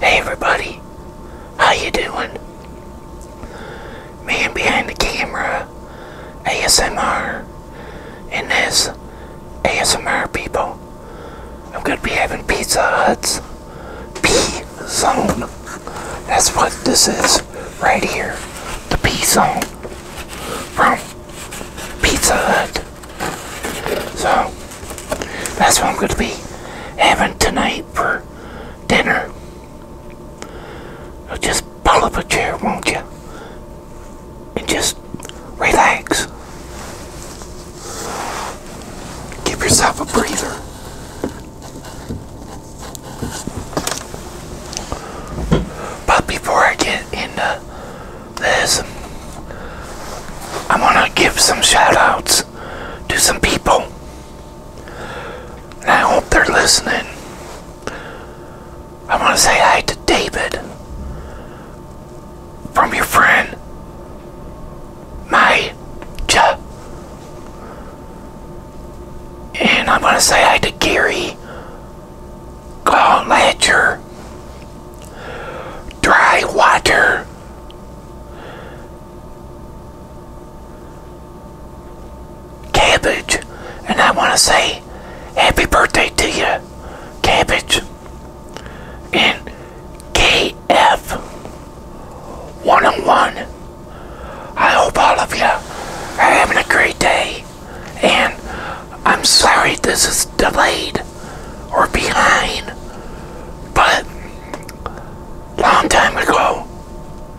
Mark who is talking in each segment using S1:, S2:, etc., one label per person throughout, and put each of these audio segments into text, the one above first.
S1: Hey everybody, how you doing? Man behind the camera, ASMR, and this ASMR people. I'm gonna be having Pizza Hut's P-Zone. That's what this is right here, the P-Zone from Pizza Hut. So that's what I'm going to be having tonight for dinner. just pull up a chair, won't you? And just relax. Give yourself a breather. But before I get into this, i want to give some shout outs to some people. I hope they're listening. I wanna say hi to David from your friend my cha and I wanna say hi to Gary Ledger dry water. Cabbage, and I want to say happy birthday to you, Cabbage. And KF oh one, I hope all of you are having a great day, and I'm sorry this is delayed or behind. But long time ago,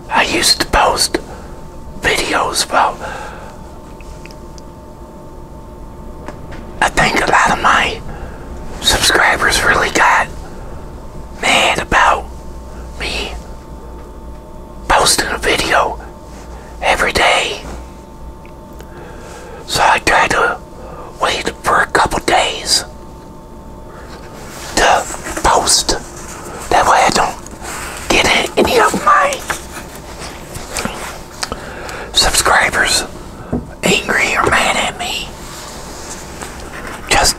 S1: I used to post videos about. I think a lot of my subscribers really got mad about me posting a video every day so I try to wait for a couple days to post. That way I don't get any of my subscribers angry or mad at me. Just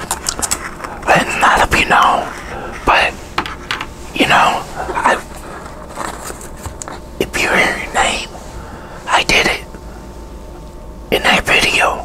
S1: letting a you know. But, you know, I if you hear your name, I did it in that video.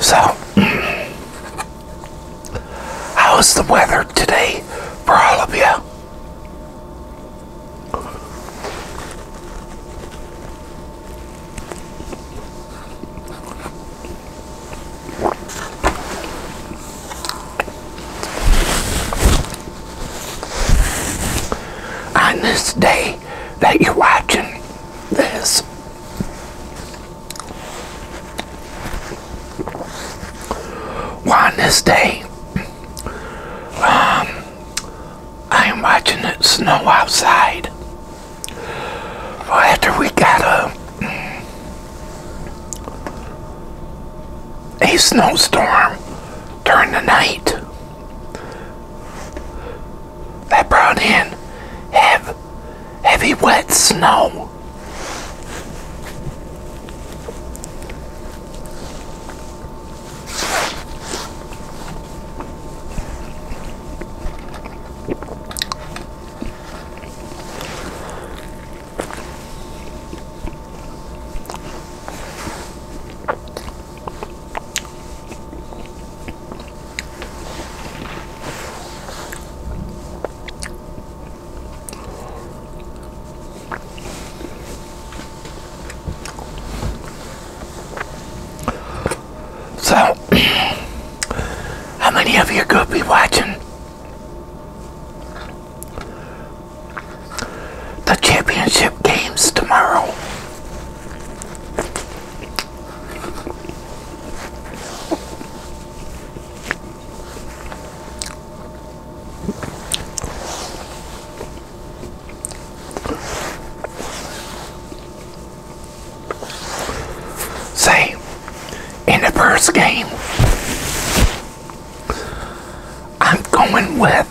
S1: So, how is the weather today for all of you? on this day that you're watching this. Well, on this day, um, I am watching it snow outside. Well, after we got a a snowstorm during the night, that brought in half heavy wet snow. So, how many of you are going to be watching the championship games tomorrow? Say, in the first game, I'm going with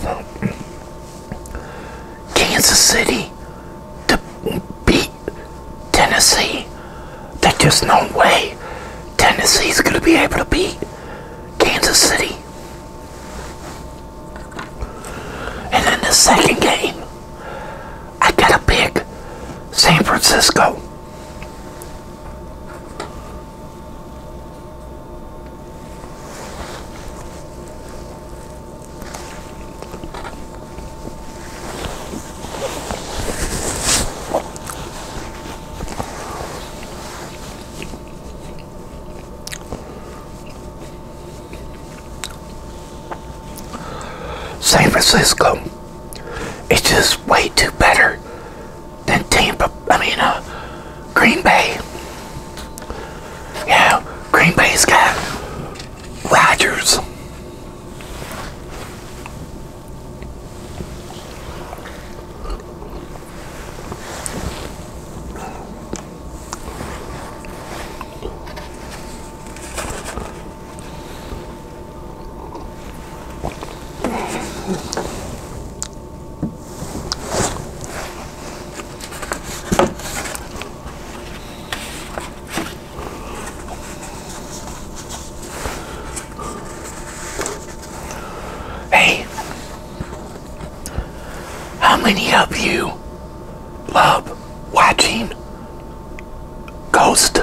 S1: Kansas City to beat Tennessee. There's just no way Tennessee's going to be able to beat Kansas City. And then the second game, I got to pick San Francisco. San Francisco it's just way too better than Tampa, I mean, uh, Green Bay. Yeah, Green Bay's got Rogers. Hey, how many of you love watching ghost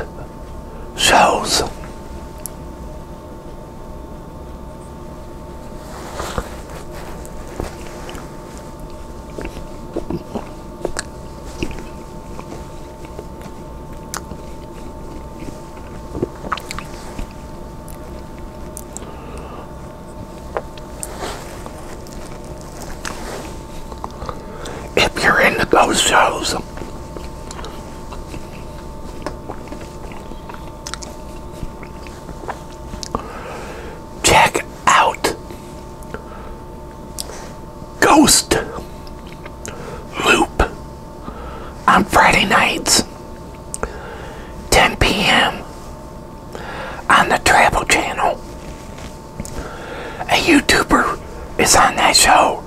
S1: shows? If you're into those shows, check out. Ghost Loop on Friday nights, 10 p.m. on the Travel Channel. A YouTuber is on that show.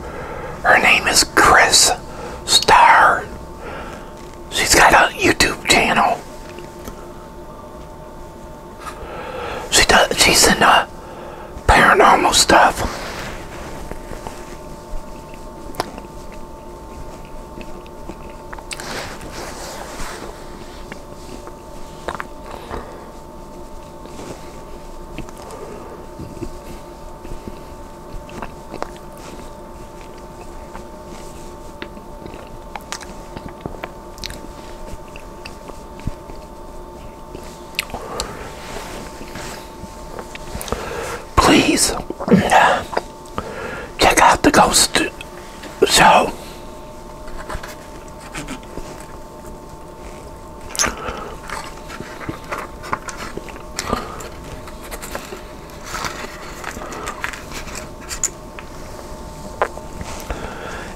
S1: Her name is Chris Star. She's got a YouTube channel. She does. She's in uh, paranormal stuff. Please check out the Ghost Show.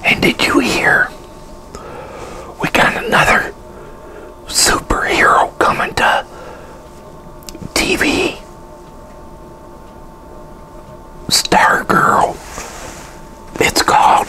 S1: And did you hear? We got another superhero coming to TV. Star Girl. It's called.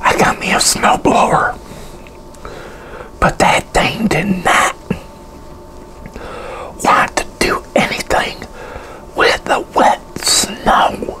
S1: I got me a snow blower, But that thing did not want to do anything with the wet snow.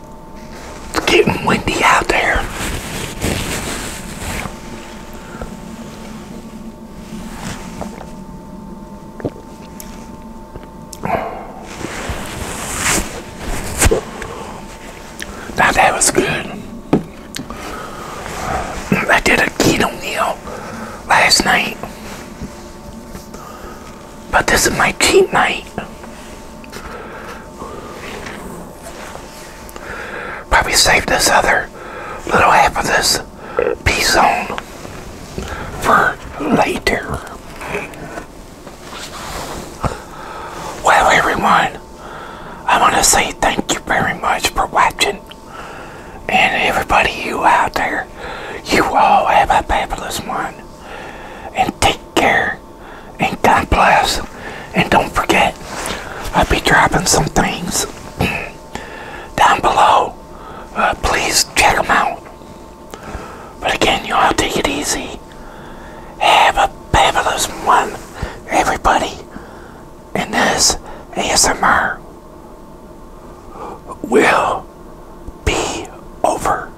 S1: It's getting windy out there. Now that was good. I did a keto meal last night. But this is my cheat night. Probably save this other little half of this piece on for later. Well, everyone, I want to say thank you very much for watching. And everybody you out there, you all have a fabulous one. And take care and God bless. And don't forget, I'll be dropping some things down below. Uh, please check them out. But again, you all take it easy. Have a fabulous one, everybody. And this ASMR will be over.